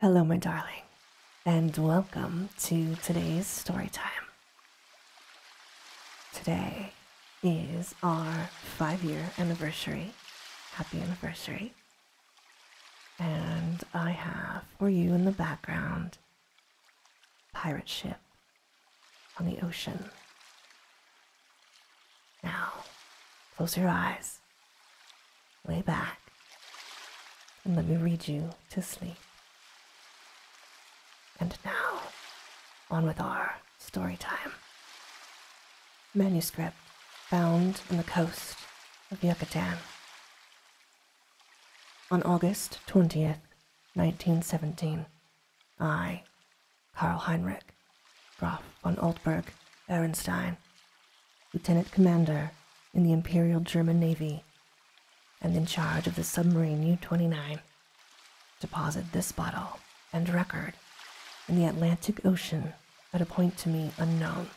Hello, my darling, and welcome to today's story time. Today is our five year anniversary. Happy anniversary. And I have for you in the background Pirate Ship on the Ocean. Now, close your eyes shoulders, lay back, and let me read you to sleep. And now, on with our story time. Manuscript found on the coast of Yucatan. On August 20th, 1917, I, Karl Heinrich, Graf von Altberg Berenstein lieutenant commander in the Imperial German Navy and in charge of the submarine U 29, deposit this bottle and record in the Atlantic Ocean at a point to me unknown,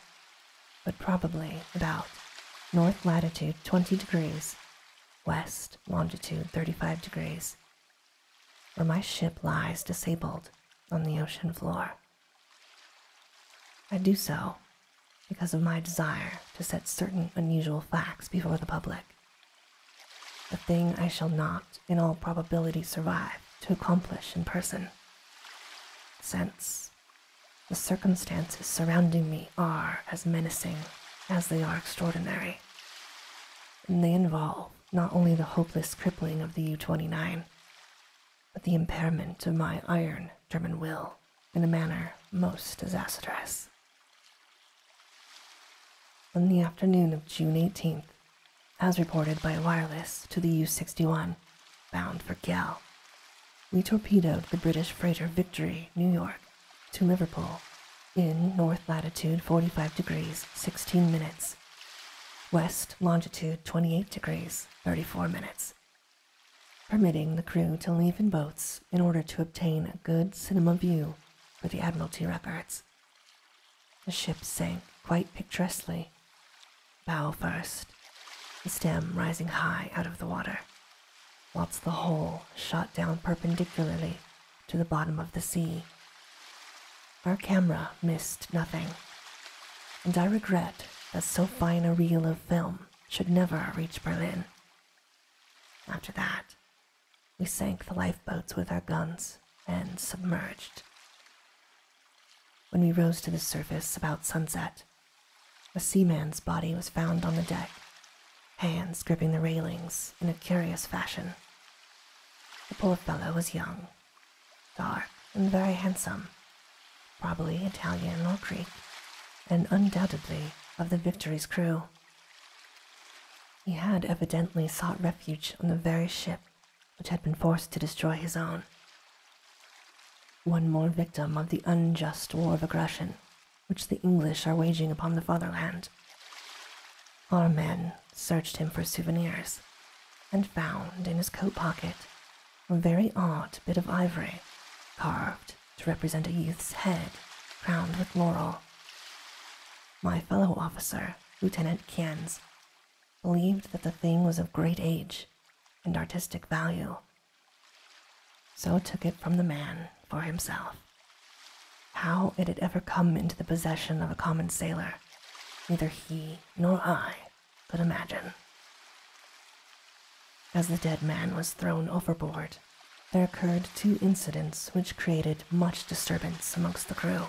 but probably about north latitude 20 degrees, west longitude 35 degrees, where my ship lies disabled on the ocean floor. I do so because of my desire to set certain unusual facts before the public. A thing I shall not, in all probability, survive to accomplish in person. Since the circumstances surrounding me are as menacing as they are extraordinary, and they involve not only the hopeless crippling of the U 29, but the impairment of my iron German will in a manner most disastrous. On the afternoon of June 18th, as reported by wireless to the U 61, bound for Gell, we torpedoed the British freighter Victory, New York, to Liverpool in north latitude 45 degrees 16 minutes, west longitude 28 degrees 34 minutes, permitting the crew to leave in boats in order to obtain a good cinema view for the Admiralty records. The ship sank quite picturesquely, bow first, the stem rising high out of the water, whilst the whole shot down perpendicularly to the bottom of the sea. Our camera missed nothing and I regret that so fine a reel of film should never reach Berlin. After that, we sank the lifeboats with our guns and submerged. When we rose to the surface about sunset, a seaman's body was found on the deck, hands gripping the railings in a curious fashion. The poor fellow was young dark, and very handsome, probably Italian or Greek, and undoubtedly of the Victory's crew. He had evidently sought refuge on the very ship which had been forced to destroy his own. One more victim of the unjust war of aggression which the English are waging upon the fatherland. Our men searched him for souvenirs and found in his coat pocket a very odd bit of ivory, carved to represent a youth's head crowned with laurel. My fellow officer, Lieutenant Kienz, believed that the thing was of great age and artistic value, so took it from the man for himself. How it had ever come into the possession of a common sailor, neither he nor I could imagine. As the dead man was thrown overboard, there occurred two incidents which created much disturbance amongst the crew.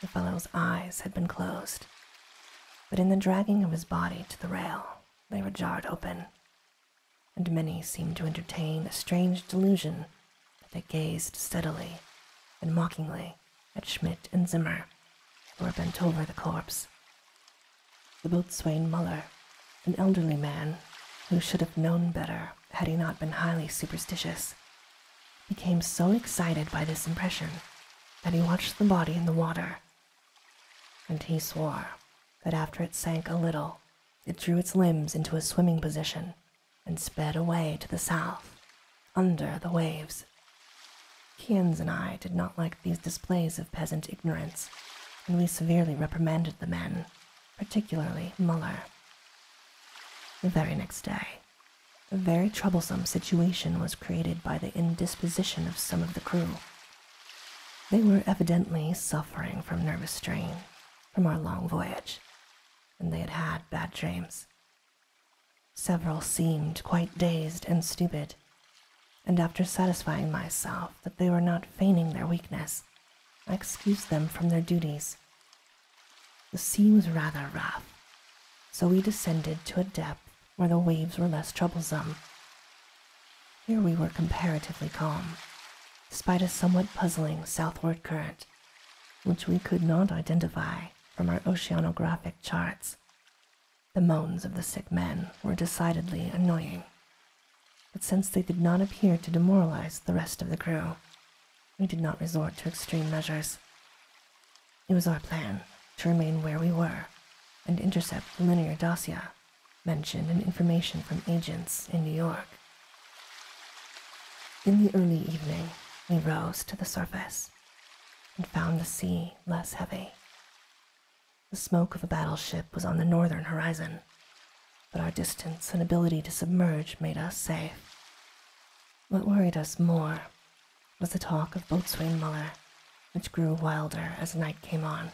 The fellow's eyes had been closed, but in the dragging of his body to the rail, they were jarred open, and many seemed to entertain a strange delusion that they gazed steadily and mockingly at Schmidt and Zimmer, who were bent over the corpse. The boatswain Muller, an elderly man who should have known better had he not been highly superstitious, became so excited by this impression that he watched the body in the water. And he swore that after it sank a little, it drew its limbs into a swimming position and sped away to the south under the waves. Kians and I did not like these displays of peasant ignorance, and we severely reprimanded the men, particularly Muller. The very next day, a very troublesome situation was created by the indisposition of some of the crew. They were evidently suffering from nervous strain from our long voyage, and they had had bad dreams, Several seemed quite dazed and stupid, and after satisfying myself that they were not feigning their weakness, I excused them from their duties. The sea was rather rough, so we descended to a depth where the waves were less troublesome. Here we were comparatively calm, despite a somewhat puzzling southward current, which we could not identify from our oceanographic charts the moans of the sick men were decidedly annoying, but since they did not appear to demoralize the rest of the crew, we did not resort to extreme measures. It was our plan to remain where we were and intercept the linear Dacia, mentioned in information from agents in New York. In the early evening, we rose to the surface and found the sea less heavy. The smoke of a battleship was on the northern horizon, but our distance and ability to submerge made us safe. What worried us more was the talk of Boatswain Muller, which grew wilder as night came on.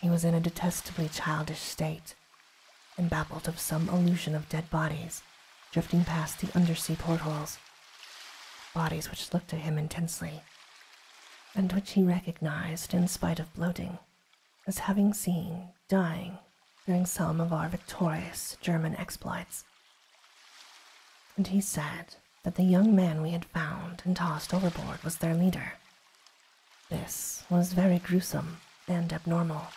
He was in a detestably childish state and babbled of some illusion of dead bodies drifting past the undersea portholes. Bodies which looked at him intensely, and which he recognized, in spite of bloating, as having seen dying during some of our victorious German exploits. And he said that the young man we had found and tossed overboard was their leader. This was very gruesome and abnormal,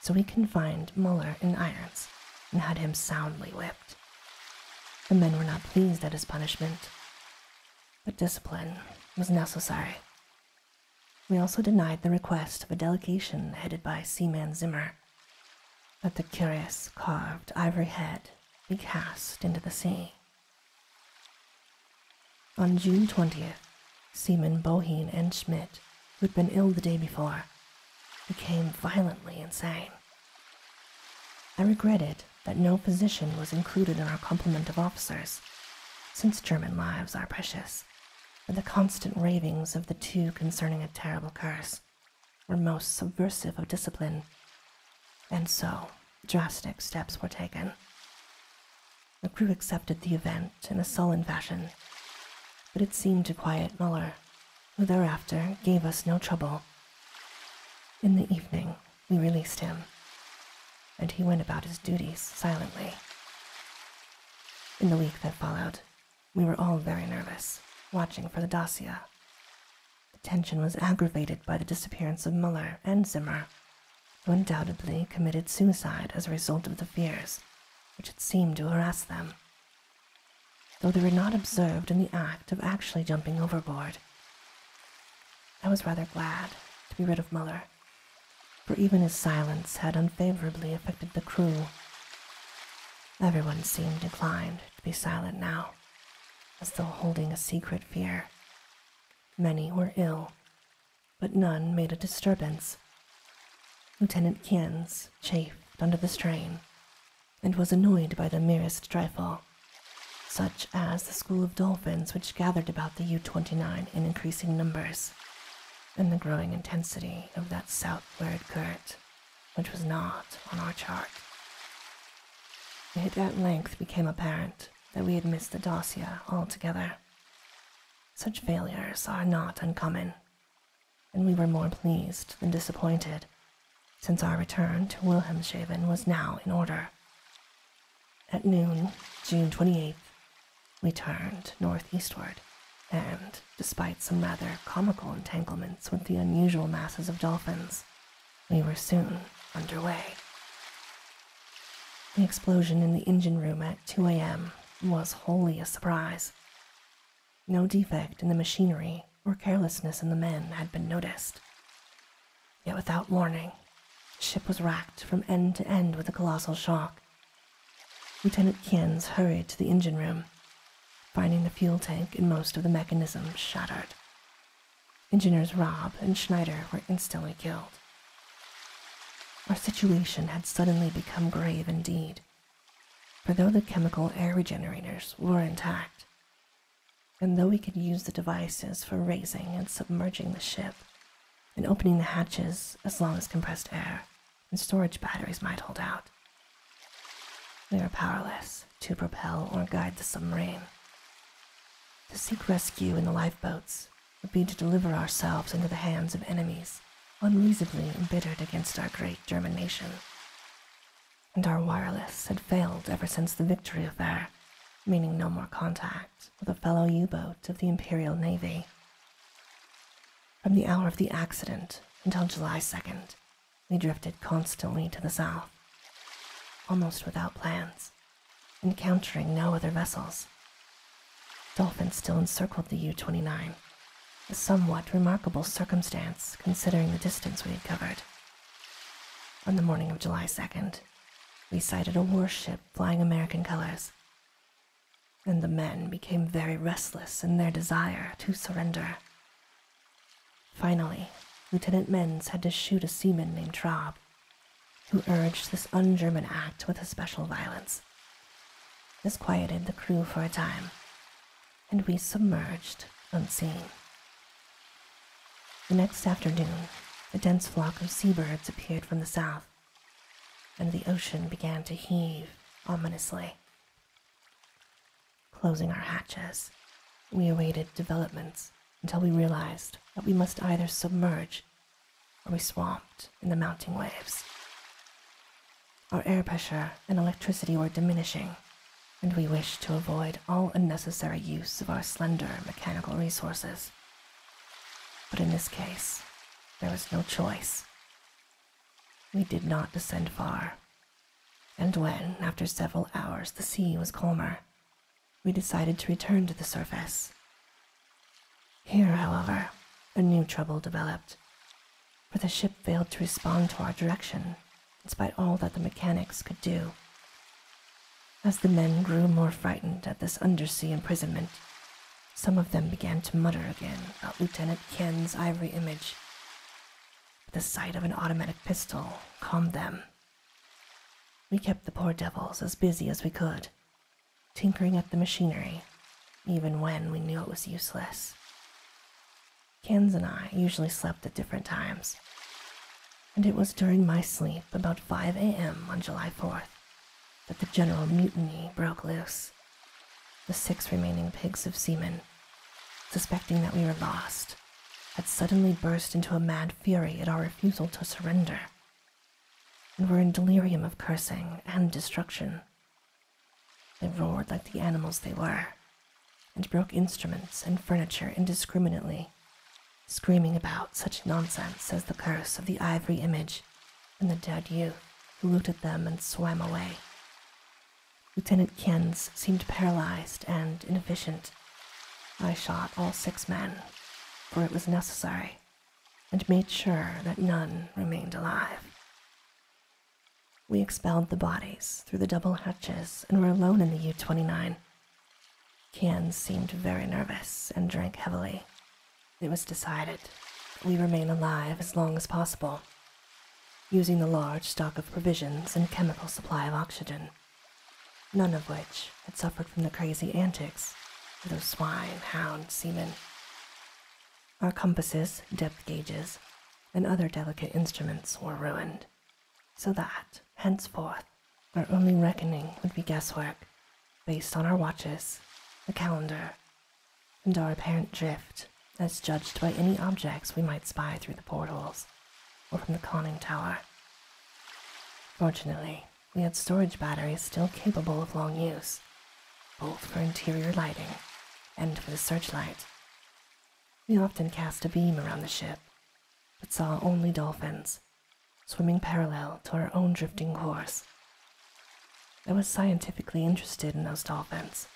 so we confined Muller in irons and had him soundly whipped. The men were not pleased at his punishment, but discipline was necessary. We also denied the request of a delegation headed by Seaman Zimmer that the curious carved ivory head be cast into the sea. On June 20th, Seaman Boheen and Schmidt, who had been ill the day before, became violently insane. I regretted that no physician was included in our complement of officers, since German lives are precious, and the constant ravings of the two concerning a terrible curse were most subversive of discipline, and so drastic steps were taken. The crew accepted the event in a sullen fashion, but it seemed to quiet Muller, who thereafter gave us no trouble. In the evening, we released him, and he went about his duties silently. In the week that followed, we were all very nervous, watching for the dossier. The tension was aggravated by the disappearance of Muller and Zimmer, who undoubtedly committed suicide as a result of the fears which had seemed to harass them though they were not observed in the act of actually jumping overboard. I was rather glad to be rid of Muller, for even his silence had unfavorably affected the crew. Everyone seemed inclined to be silent now, as though holding a secret fear. Many were ill, but none made a disturbance. Lieutenant Kins chafed under the strain and was annoyed by the merest trifle, such as the school of dolphins which gathered about the U 29 in increasing numbers, and the growing intensity of that southward current, which was not on our chart. It at length became apparent that we had missed the Dacia altogether. Such failures are not uncommon, and we were more pleased than disappointed, since our return to Wilhelmshaven was now in order. At noon, June 28th, we turned northeastward, and, despite some rather comical entanglements with the unusual masses of dolphins, we were soon under way. The explosion in the engine room at 2 a.m. was wholly a surprise. No defect in the machinery or carelessness in the men had been noticed. Yet without warning, the ship was racked from end to end with a colossal shock. Lieutenant Kien's hurried to the engine room, finding the fuel tank and most of the mechanism shattered. Engineers Rob and Schneider were instantly killed. Our situation had suddenly become grave indeed. For though the chemical air regenerators were intact, and though we could use the devices for raising and submerging the ship, and opening the hatches as long as compressed air and storage batteries might hold out, we were powerless to propel or guide the submarine. To seek rescue in the lifeboats would be to deliver ourselves into the hands of enemies unreasonably embittered against our great German nation and our wireless had failed ever since the victory affair, meaning no more contact with a fellow U boat of the Imperial Navy. From the hour of the accident until July 2nd, we drifted constantly to the south, almost without plans, encountering no other vessels. Dolphins still encircled the U 29 a somewhat remarkable circumstance, considering the distance we had covered. On the morning of July 2nd, we sighted a warship flying American colors, and the men became very restless in their desire to surrender. Finally, Lieutenant Menz had to shoot a seaman named Traub, who urged this un German act with especial violence. This quieted the crew for a time, and we submerged unseen. The next afternoon, a dense flock of sea birds appeared from the south, and the ocean began to heave ominously. Closing our hatches, we awaited developments until we realized that we must either submerge or be swamped in the mounting waves. Our air pressure and electricity were diminishing, and we wished to avoid all unnecessary use of our slender mechanical resources. But in this case, there was no choice. We did not descend far, and when, after several hours, the sea was calmer, we decided to return to the surface. Here, however, a new trouble developed for the ship failed to respond to our direction, in spite all that the mechanics could do. As the men grew more frightened at this undersea imprisonment, some of them began to mutter again about Lieutenant Kien's ivory image. But the sight of an automatic pistol calmed them. We kept the poor devils as busy as we could, tinkering at the machinery, even when we knew it was useless. Kins and I usually slept at different times, and it was during my sleep about 5 a.m. on July 4th that the general mutiny broke loose. The six remaining pigs of seamen, suspecting that we were lost, had suddenly burst into a mad fury at our refusal to surrender, and were in delirium of cursing and destruction they roared like the animals they were, and broke instruments and furniture indiscriminately, screaming about such nonsense as the curse of the ivory image and the dead youth who looked at them and swam away. Lieutenant Kienz seemed paralyzed and inefficient. I shot all six men, for it was necessary, and made sure that none remained alive. We expelled the bodies through the double hatches and were alone in the U 29. Kian seemed very nervous and drank heavily. It was decided we remain alive as long as possible, using the large stock of provisions and chemical supply of oxygen, none of which had suffered from the crazy antics of those swine, hound, seamen. Our compasses, depth gauges, and other delicate instruments were ruined, so that, henceforth, our only reckoning would be guesswork, based on our watches, the calendar, and our apparent drift, as judged by any objects we might spy through the portholes, or from the conning tower. Fortunately, we had storage batteries still capable of long use, both for interior lighting and for the searchlight, we often cast a beam around the ship, but saw only dolphins, swimming parallel to our own drifting course. I was scientifically interested in those dolphins,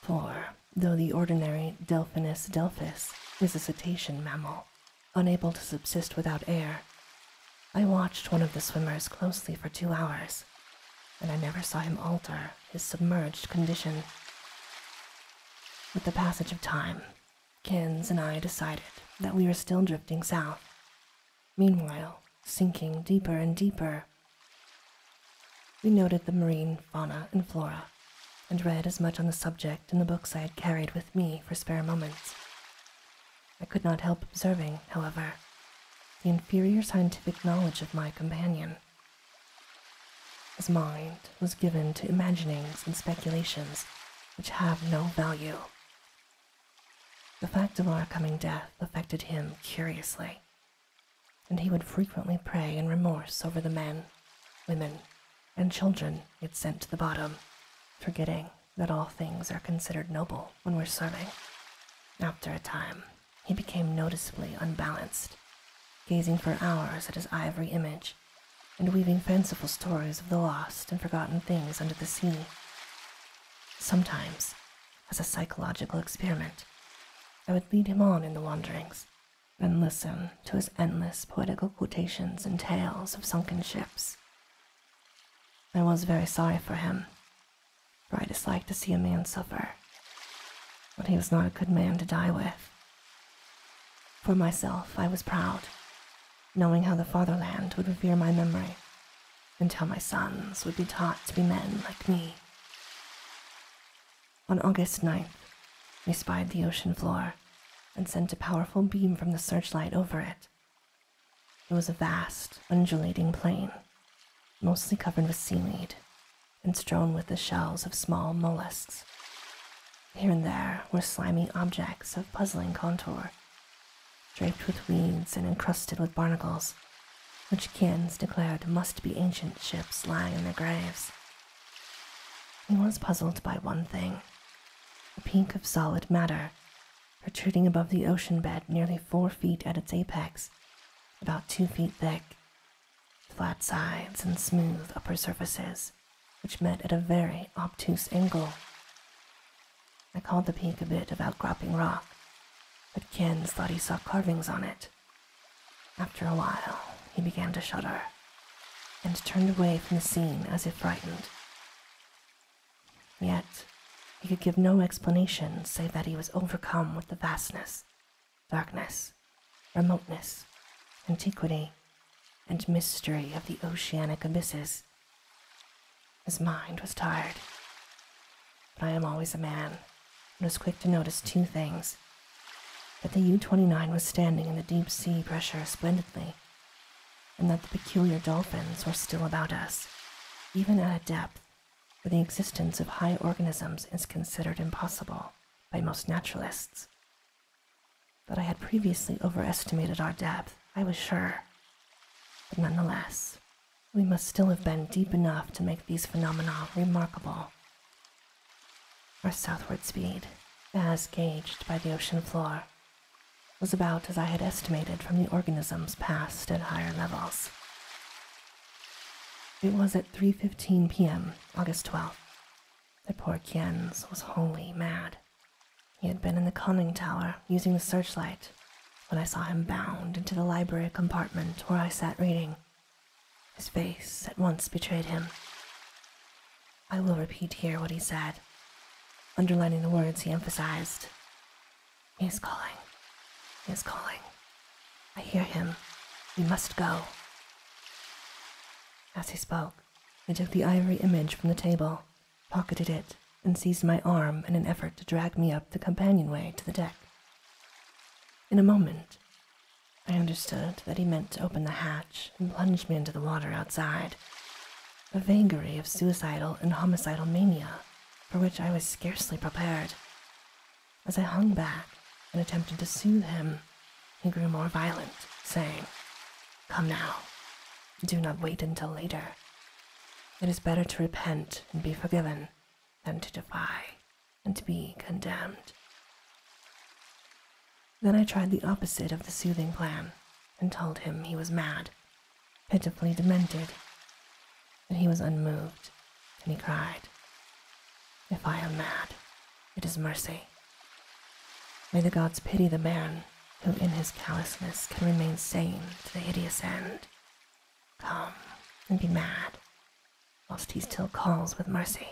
for though the ordinary Delphinus delphis is a cetacean mammal, unable to subsist without air, I watched one of the swimmers closely for two hours and I never saw him alter his submerged condition. With the passage of time, Kins and I decided that we were still drifting south, meanwhile, sinking deeper and deeper. We noted the marine fauna and flora, and read as much on the subject in the books I had carried with me for spare moments. I could not help observing, however, the inferior scientific knowledge of my companion. His mind was given to imaginings and speculations which have no value. The fact of our coming death affected him curiously, and he would frequently pray in remorse over the men, women, and children it sent to the bottom, forgetting that all things are considered noble when we're serving after a time he became noticeably unbalanced, gazing for hours at his ivory image and weaving fanciful stories of the lost and forgotten things under the sea. Sometimes, as a psychological experiment, I would lead him on in the wanderings, and listen to his endless poetical quotations and tales of sunken ships. I was very sorry for him for I disliked to see a man suffer. But he was not a good man to die with. For myself, I was proud, knowing how the fatherland would revere my memory, and how my sons would be taught to be men like me. On August ninth, we spied the ocean floor and sent a powerful beam from the searchlight over it. It was a vast, undulating plain, mostly covered with seaweed, and strewn with the shells of small mollusks. Here and there were slimy objects of puzzling contour, draped with weeds and encrusted with barnacles, which Kians declared must be ancient ships lying in their graves. He was puzzled by one thing a peak of solid matter protruding above the ocean bed nearly four feet at its apex, about two feet thick flat sides and smooth upper surfaces, which met at a very obtuse angle. I called the peak a bit of outcropping rock, but Kins thought he saw carvings on it. After a while, he began to shudder and turned away from the scene as if frightened. Yet, he could give no explanation save that he was overcome with the vastness darkness, remoteness, antiquity, and mystery of the oceanic abysses. His mind was tired. But I am always a man, and was quick to notice two things that the U 29 was standing in the deep sea pressure splendidly, and that the peculiar dolphins were still about us, even at a depth for the existence of high organisms is considered impossible by most naturalists. But I had previously overestimated our depth, I was sure. But nonetheless, we must still have been deep enough to make these phenomena remarkable. Our southward speed, as gauged by the ocean floor, was about as I had estimated from the organisms passed at higher levels. It was at 3:15 p.m., August 12th, that poor Kienz was wholly mad. He had been in the conning tower using the searchlight when I saw him bound into the library compartment where I sat reading. His face at once betrayed him. I will repeat here what he said, underlining the words he emphasized. He is calling. He is calling. I hear him. We must go. As he spoke, I took the ivory image from the table, pocketed it, and seized my arm in an effort to drag me up the companionway to the deck. In a moment, I understood that he meant to open the hatch and plunge me into the water outside, a vagary of suicidal and homicidal mania for which I was scarcely prepared. As I hung back and attempted to soothe him, he grew more violent, saying, Come now, do not wait until later. It is better to repent and be forgiven than to defy and to be condemned. Then I tried the opposite of the soothing plan and told him he was mad, pitifully demented but he was unmoved, and he cried, If I am mad, it is mercy. May the gods pity the man who in his callousness can remain sane to the hideous end. Come and be mad, whilst he still calls with mercy.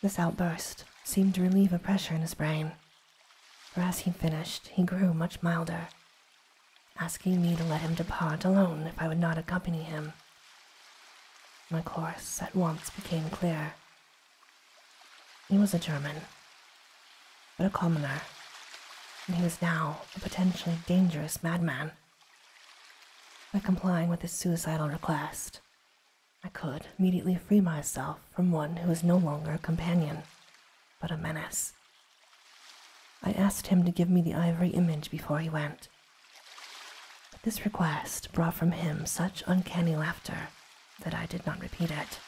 This outburst seemed to relieve a pressure in his brain, for as he finished, he grew much milder asking me to let him depart alone if I would not accompany him. My course at once became clear. He was a German, but a commoner, and he was now a potentially dangerous madman. By complying with his suicidal request, I could immediately free myself from one who was no longer a companion, but a menace I asked him to give me the ivory image before he went. But this request brought from him such uncanny laughter that I did not repeat it.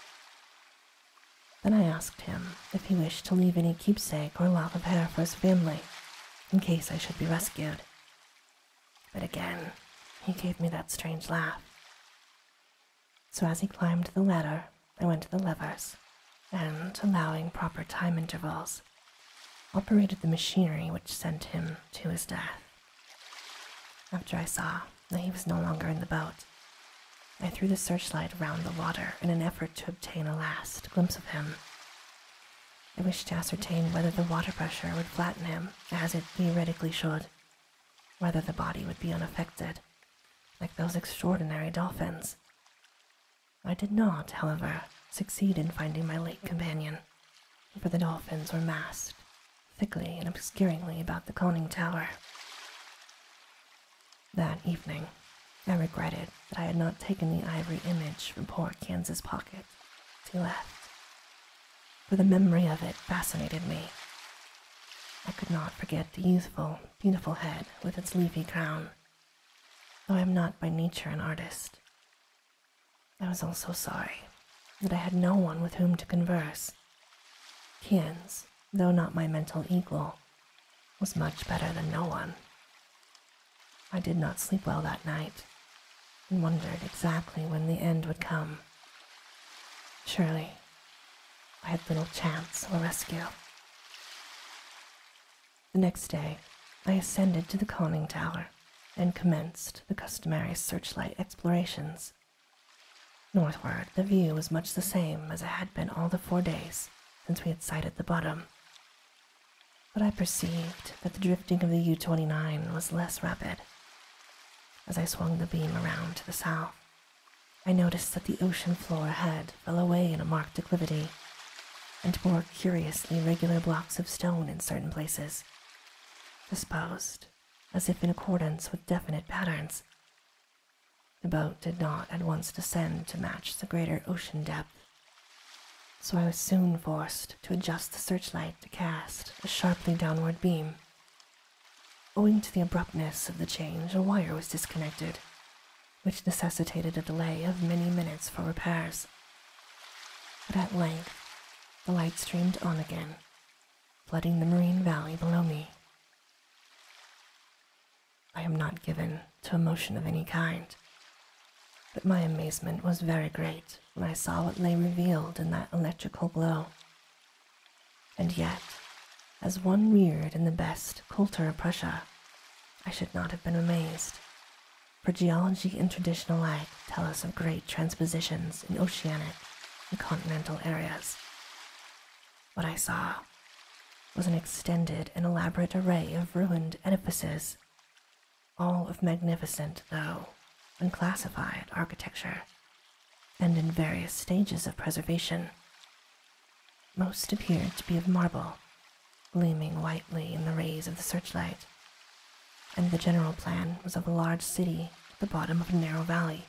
Then I asked him if he wished to leave any keepsake or lock of hair for his family, in case I should be rescued. But again, he gave me that strange laugh. So as he climbed the ladder, I went to the levers and, allowing proper time intervals, operated the machinery which sent him to his death. After I saw that he was no longer in the boat, I threw the searchlight round the water in an effort to obtain a last glimpse of him. I wished to ascertain whether the water pressure would flatten him, as it theoretically should, whether the body would be unaffected, like those extraordinary dolphins. I did not, however, succeed in finding my late companion, for the dolphins were massed thickly and obscuringly about the conning tower. That evening, I regretted that I had not taken the ivory image from poor Kans's pocket as he left, for the memory of it fascinated me. I could not forget the youthful, beautiful head with its leafy crown Though I am not by nature an artist, I was also sorry that I had no one with whom to converse. Kian's, though not my mental equal, was much better than no one. I did not sleep well that night and wondered exactly when the end would come. Surely, I had little chance of rescue. The next day, I ascended to the conning tower and commenced the customary searchlight explorations. Northward, the view was much the same as it had been all the four days since we had sighted the bottom. But I perceived that the drifting of the U 29 was less rapid. As I swung the beam around to the south, I noticed that the ocean floor ahead fell away in a marked declivity and more curiously regular blocks of stone in certain places, disposed as if in accordance with definite patterns. The boat did not at once descend to match the greater ocean depth, so I was soon forced to adjust the searchlight to cast a sharply downward beam. Owing to the abruptness of the change, a wire was disconnected, which necessitated a delay of many minutes for repairs. But at length, the light streamed on again, flooding the marine valley below me. I am not given to emotion of any kind, but my amazement was very great when I saw what lay revealed in that electrical glow. And yet, as one reared in the best culture of Prussia, I should not have been amazed, for geology and tradition alike tell us of great transpositions in oceanic and continental areas. What I saw was an extended and elaborate array of ruined edifices, all of magnificent, though unclassified, architecture, and in various stages of preservation. Most appeared to be of marble, gleaming whitely in the rays of the searchlight, and the general plan was of a large city at the bottom of a narrow valley,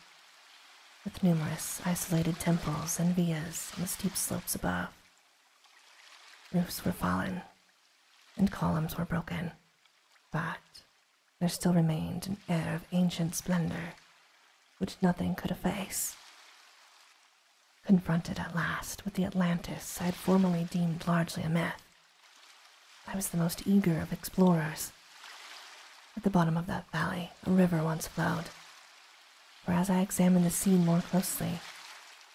with numerous isolated temples and villas on the steep slopes above. Roofs were fallen, and columns were broken, but there still remained an air of ancient splendor which nothing could efface confronted at last with the Atlantis I had formerly deemed largely a myth. I was the most eager of explorers. At the bottom of that valley, a river once flowed. For as I examined the scene more closely,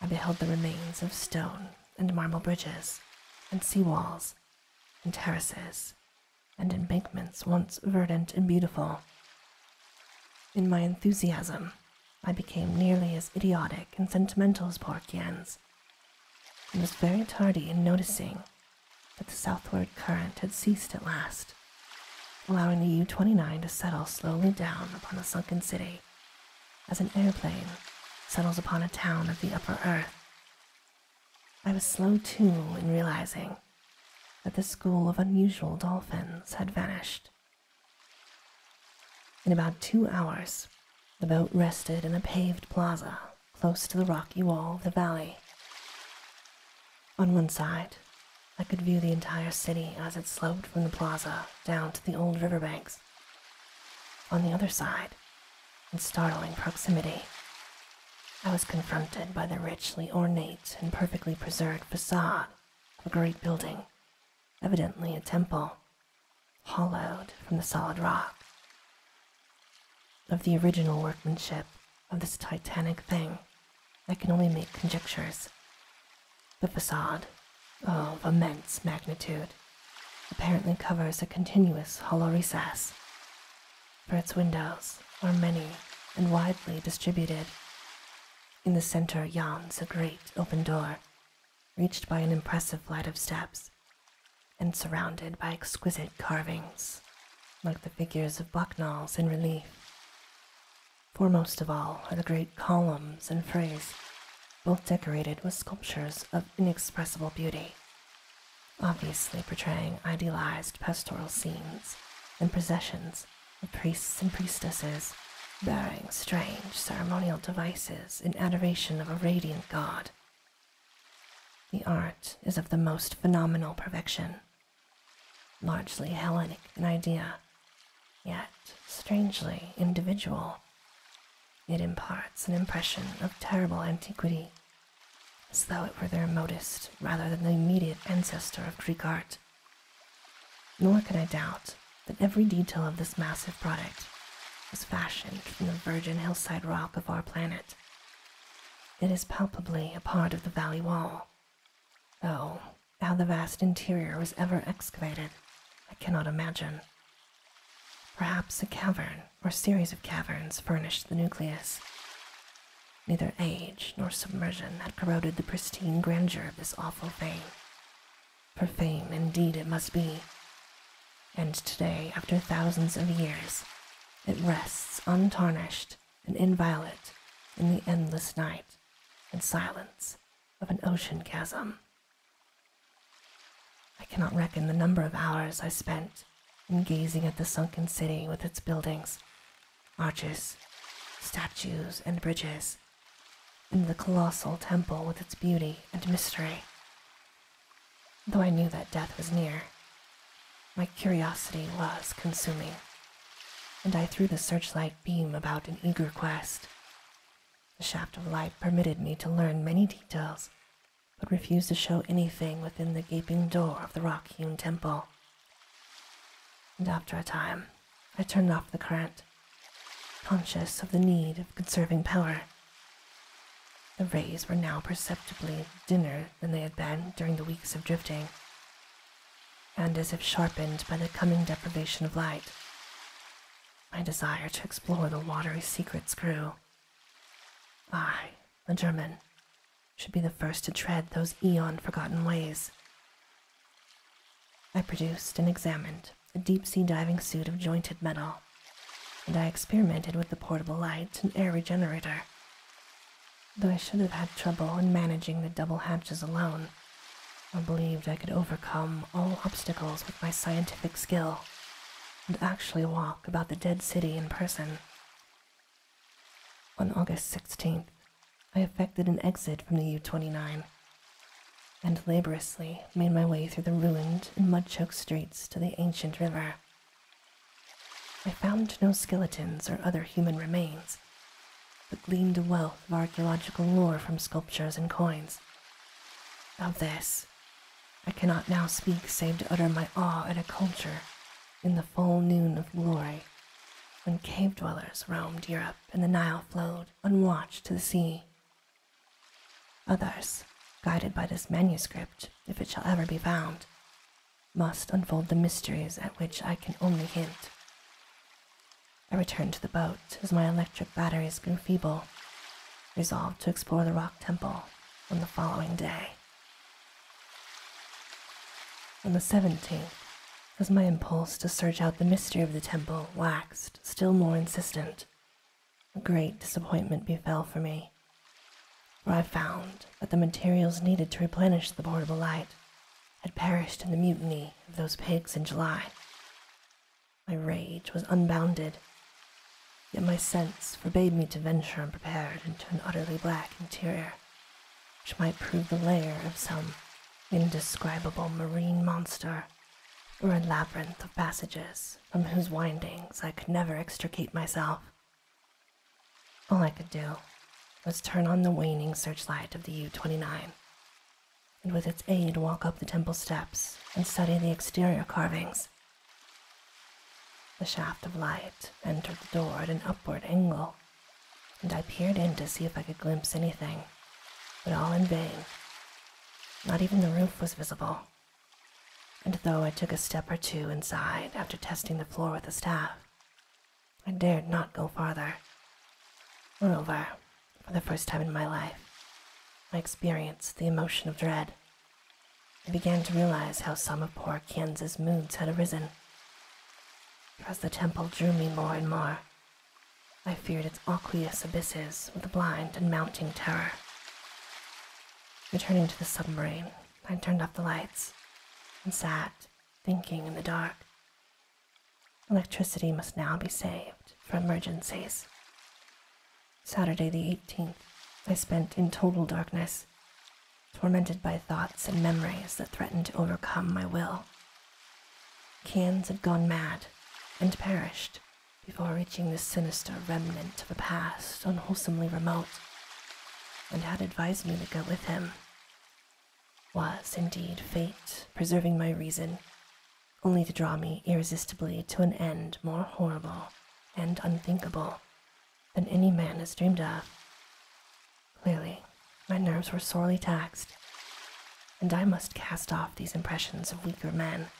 I beheld the remains of stone and marble bridges, and sea walls, and terraces, and embankments once verdant and beautiful. In my enthusiasm, I became nearly as idiotic and sentimental as poor Borkian's, and was very tardy in noticing that the southward current had ceased at last, allowing the U 29 to settle slowly down upon the sunken city as an airplane settles upon a town of the upper earth. I was slow too in realizing that the school of unusual dolphins had vanished in about two hours, the boat rested in a paved plaza close to the rocky wall of the valley. On one side, I could view the entire city as it sloped from the plaza down to the old riverbanks. On the other side, in startling proximity, I was confronted by the richly ornate and perfectly preserved facade a great building, evidently a temple, hollowed from the solid rock. Of the original workmanship of this titanic thing, I can only make conjectures. The facade, of immense magnitude, apparently covers a continuous hollow recess, for its windows are many and widely distributed, in the center yawns a great open door, reached by an impressive flight of steps, and surrounded by exquisite carvings, like the figures of bucknalls in relief. Foremost of all are the great columns and frays, both decorated with sculptures of inexpressible beauty, obviously portraying idealized pastoral scenes and processions the priests and priestesses, bearing strange ceremonial devices in adoration of a radiant god. The art is of the most phenomenal perfection, largely Hellenic in idea, yet strangely individual. It imparts an impression of terrible antiquity, as though it were the remotest rather than the immediate ancestor of Greek art. Nor can I doubt that every detail of this massive product was fashioned from the virgin hillside rock of our planet. It is palpably a part of the valley wall, though how the vast interior was ever excavated, I cannot imagine. Perhaps a cavern or series of caverns furnished the nucleus, Neither age nor submersion had corroded the pristine grandeur of this awful fame, for fame indeed it must be. And today, after thousands of years, it rests untarnished and inviolate in the endless night and silence of an ocean chasm. I cannot reckon the number of hours I spent in gazing at the sunken city with its buildings arches, statues, and bridges, and the colossal temple with its beauty and mystery. Though I knew that death was near, my curiosity was consuming, and I threw the searchlight beam about in eager quest. The shaft of light permitted me to learn many details, but refused to show anything within the gaping door of the rock hewn temple. And after a time, I turned off the current, conscious of the need of conserving power. The rays were now perceptibly dimmer than they had been during the weeks of drifting, and as if sharpened by the coming deprivation of light. My desire to explore the watery secrets grew. I, the German, should be the first to tread those eon forgotten ways, I produced and examined a deep sea diving suit of jointed metal, and I experimented with the portable light and air regenerator. Though I should have had trouble in managing the double hatches alone, I believed I could overcome all obstacles with my scientific skill and actually walk about the dead city in person. On August 16th, I effected an exit from the U 29 and laboriously made my way through the ruined and mud choked streets to the ancient river. I found no skeletons or other human remains, but gleaned a wealth of archaeological lore from sculptures and coins. Of this, I cannot now speak save to utter my awe at a culture in the full noon of glory when cave dwellers roamed Europe and the Nile flowed unwatched to the sea. Others, guided by this manuscript, if it shall ever be found, must unfold the mysteries at which I can only hint. I returned to the boat as my electric batteries grew feeble, resolved to explore the rock temple on the following day. On the 17th, as my impulse to search out the mystery of the temple waxed still more insistent. A great disappointment befell for me, for I found that the materials needed to replenish the portable light had perished in the mutiny of those pigs in July. My rage was unbounded, yet my sense forbade me to venture unprepared into an utterly black interior which might prove the lair of some indescribable marine monster, or a labyrinth of passages from whose windings I could never extricate myself. All I could do was turn on the waning searchlight of the U 29, and with its aid walk up the temple steps and study the exterior carvings. The shaft of light entered the door at an upward angle, and I peered in to see if I could glimpse anything, but all in vain. Not even the roof was visible. And though I took a step or two inside after testing the floor with a staff, I dared not go farther. Moreover, for the first time in my life, I experienced the emotion of dread. I began to realize how some of poor Kansas moods had arisen. As the temple drew me more and more, I feared its aqueous abysses with a blind and mounting terror. Returning to the submarine, I turned off the lights and sat thinking in the dark. Electricity must now be saved for emergencies. Saturday the 18th, I spent in total darkness, tormented by thoughts and memories that threatened to overcome my will Cairns had gone mad and perished before reaching this sinister remnant of a past unwholesomely remote, and had advised me to go with him. Was indeed fate preserving my reason, only to draw me irresistibly to an end more horrible and unthinkable than any man has dreamed of. Clearly, my nerves were sorely taxed, and I must cast off these impressions of weaker men.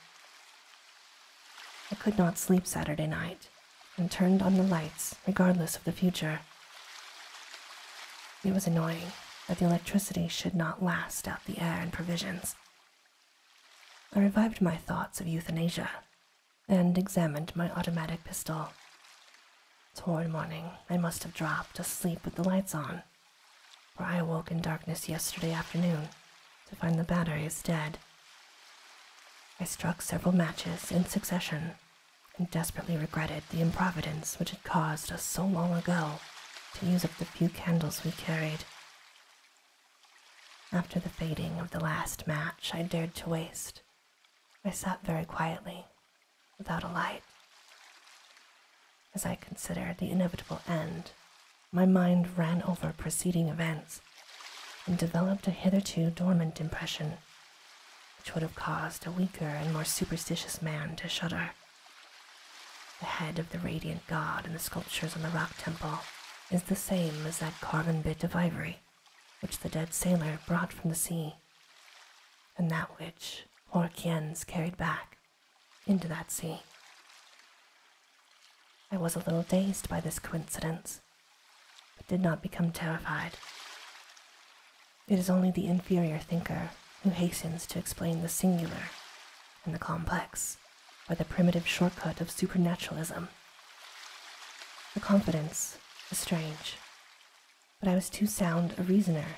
I could not sleep Saturday night and turned on the lights regardless of the future. It was annoying that the electricity should not last out the air and provisions. I revived my thoughts of euthanasia and examined my automatic pistol. Toward morning, I must have dropped asleep with the lights on, for I awoke in darkness yesterday afternoon to find the battery is dead. I struck several matches in succession and desperately regretted the improvidence which had caused us so long ago to use up the few candles we carried. After the fading of the last match I dared to waste, I sat very quietly without a light. As I considered the inevitable end, my mind ran over preceding events and developed a hitherto dormant impression, which would have caused a weaker and more superstitious man to shudder. The head of the radiant god in the sculptures on the rock temple is the same as that carven bit of ivory which the dead sailor brought from the sea and that which Orkians carried back into that sea. I was a little dazed by this coincidence, but did not become terrified. It is only the inferior thinker who hastens to explain the singular and the complex by the primitive shortcut of supernaturalism. The confidence is strange, but I was too sound a reasoner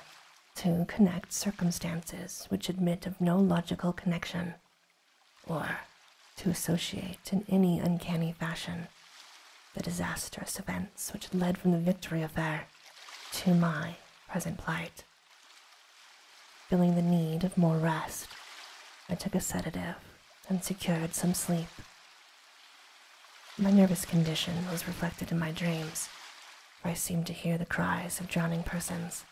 to connect circumstances which admit of no logical connection, or to associate in any uncanny fashion the disastrous events which led from the Victory affair to my present plight. Feeling the need of more rest, I took a sedative and secured some sleep my nervous condition was reflected in my dreams, for I seemed to hear the cries of drowning persons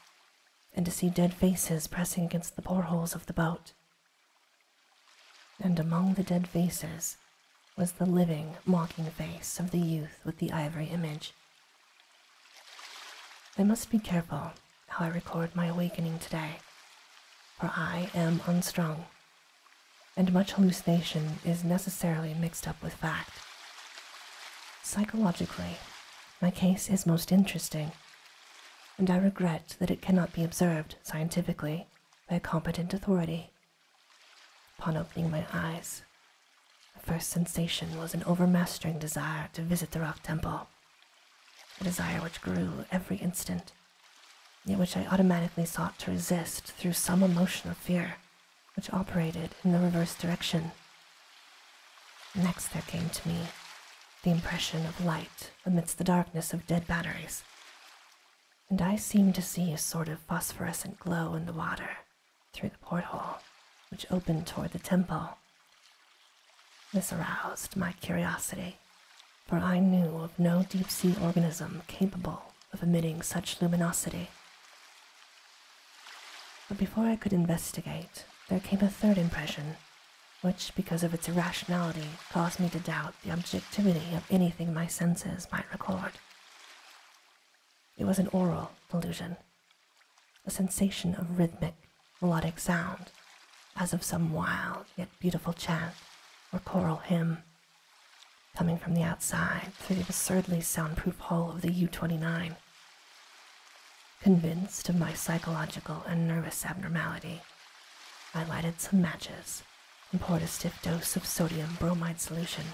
and to see dead faces pressing against the portholes of the boat. And among the dead faces was the living, mocking face of the youth with the ivory image. I must be careful how I record my awakening today, for I am unstrung and much hallucination is necessarily mixed up with fact. Psychologically, my case is most interesting, and I regret that it cannot be observed scientifically by a competent authority. Upon opening my eyes, the first sensation was an overmastering desire to visit the Rock Temple, a desire which grew every instant, yet which I automatically sought to resist through some emotion of fear which operated in the reverse direction. Next, there came to me the impression of light amidst the darkness of dead batteries, and I seemed to see a sort of phosphorescent glow in the water through the porthole, which opened toward the temple. This aroused my curiosity, for I knew of no deep sea organism capable of emitting such luminosity. But before I could investigate, there came a third impression, which, because of its irrationality, caused me to doubt the objectivity of anything my senses might record. It was an oral illusion, a sensation of rhythmic, melodic sound, as of some wild yet beautiful chant or choral hymn coming from the outside through the absurdly soundproof hull of the U 29. Convinced of my psychological and nervous abnormality, I lighted some matches and poured a stiff dose of sodium bromide solution,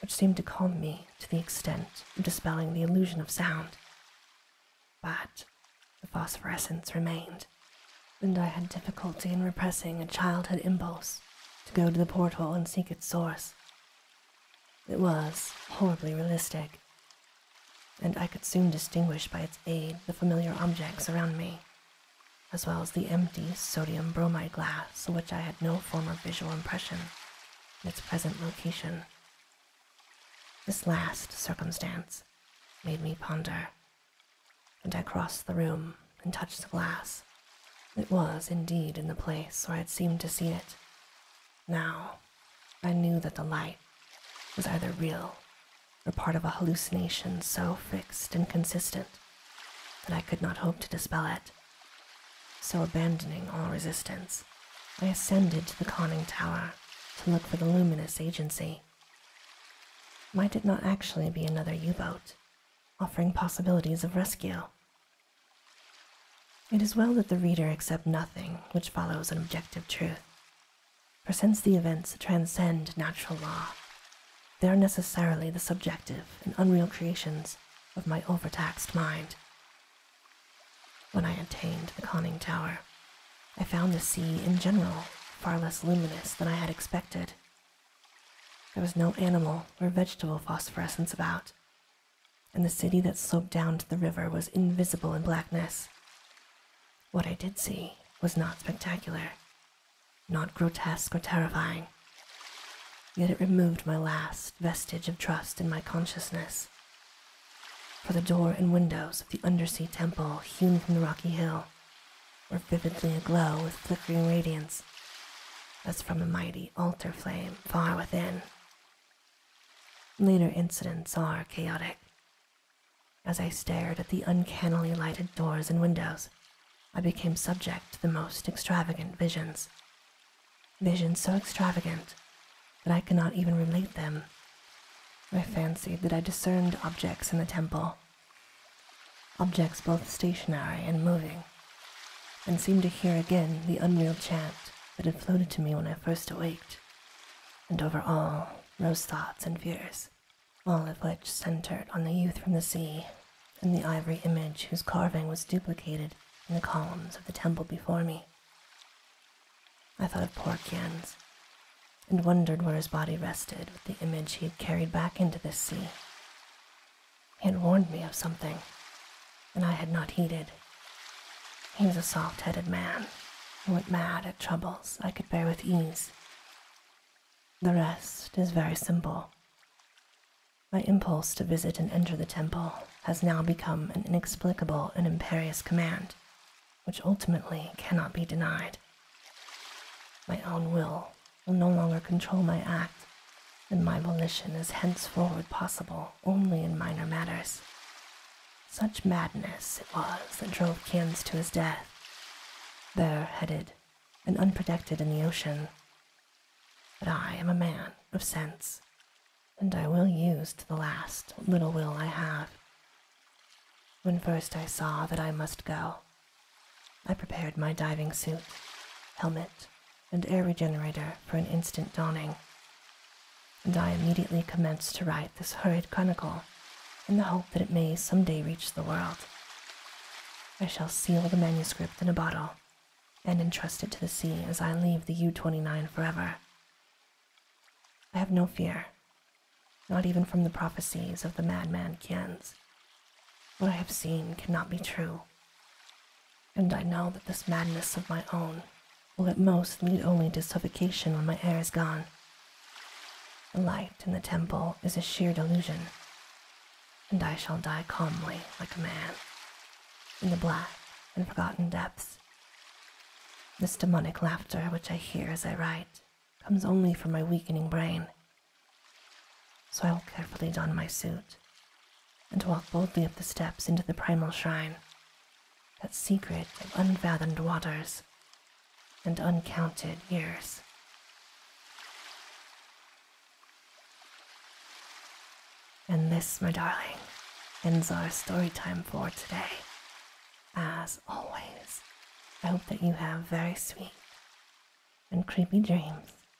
which seemed to calm me to the extent of dispelling the illusion of sound. But the phosphorescence remained, and I had difficulty in repressing a childhood impulse to go to the porthole and seek its source. It was horribly realistic, and I could soon distinguish by its aid the familiar objects around me, as well as the empty sodium bromide glass of which I had no former visual impression in its present location. This last circumstance made me ponder and I crossed the room and touched the glass. It was indeed in the place where I had seemed to see it. Now, I knew that the light was either real or part of a hallucination so fixed and consistent that I could not hope to dispel it. So, abandoning all resistance, I ascended to the conning tower to look for the luminous agency. Might it not actually be another U boat offering possibilities of rescue. It is well that the reader accept nothing which follows an objective truth, for since the events transcend natural law, they are necessarily the subjective and unreal creations of my overtaxed mind. When I attained the conning tower, I found the sea in general far less luminous than I had expected there was no animal or vegetable phosphorescence about, and the city that sloped down to the river was invisible in blackness. What I did see was not spectacular, not grotesque or terrifying, yet it removed my last vestige of trust in my consciousness. For the door and windows of the undersea temple hewn from the rocky hill were vividly aglow with flickering radiance, as from a mighty altar flame far within. Later incidents are chaotic. As I stared at the uncannily lighted doors and windows, I became subject to the most extravagant visions. Visions so extravagant that I cannot even relate them. I fancied that I discerned objects in the temple objects both stationary and moving, and seemed to hear again the unreal chant that had floated to me when I first awaked, and over all rose thoughts and fears, all of which centered on the youth from the sea and the ivory image whose carving was duplicated in the columns of the temple before me. I thought of poor Kian's, and wondered where his body rested with the image he had carried back into the sea. He had warned me of something, and I had not heeded. He was a soft headed man who went mad at troubles I could bear with ease. The rest is very simple. My impulse to visit and enter the temple has now become an inexplicable and imperious command, which ultimately cannot be denied. My own will will no longer control my act, and my volition is henceforward possible only in minor matters. Such madness it was that drove Kins to his death, bareheaded and unprotected in the ocean. But I am a man of sense, and I will use to the last little will I have. When first I saw that I must go, I prepared my diving suit, helmet, and air regenerator for an instant dawning, and I immediately commenced to write this hurried chronicle in the hope that it may some day reach the world. I shall seal the manuscript in a bottle and entrust it to the sea as I leave the U 29 forever. I have no fear, not even from the prophecies of the madman Kienz, what I have seen cannot be true, and I know that this madness of my own will at most lead only to suffocation when my air is gone. The light in the temple is a sheer delusion, and I shall die calmly like a man in the black and forgotten depths. This demonic laughter which I hear as I write comes only from my weakening brain so I will carefully don my suit and walk boldly up the steps into the primal shrine, that secret of unfathomed waters and uncounted years. And this, my darling, ends our story time for today. As always, I hope that you have very sweet and creepy dreams.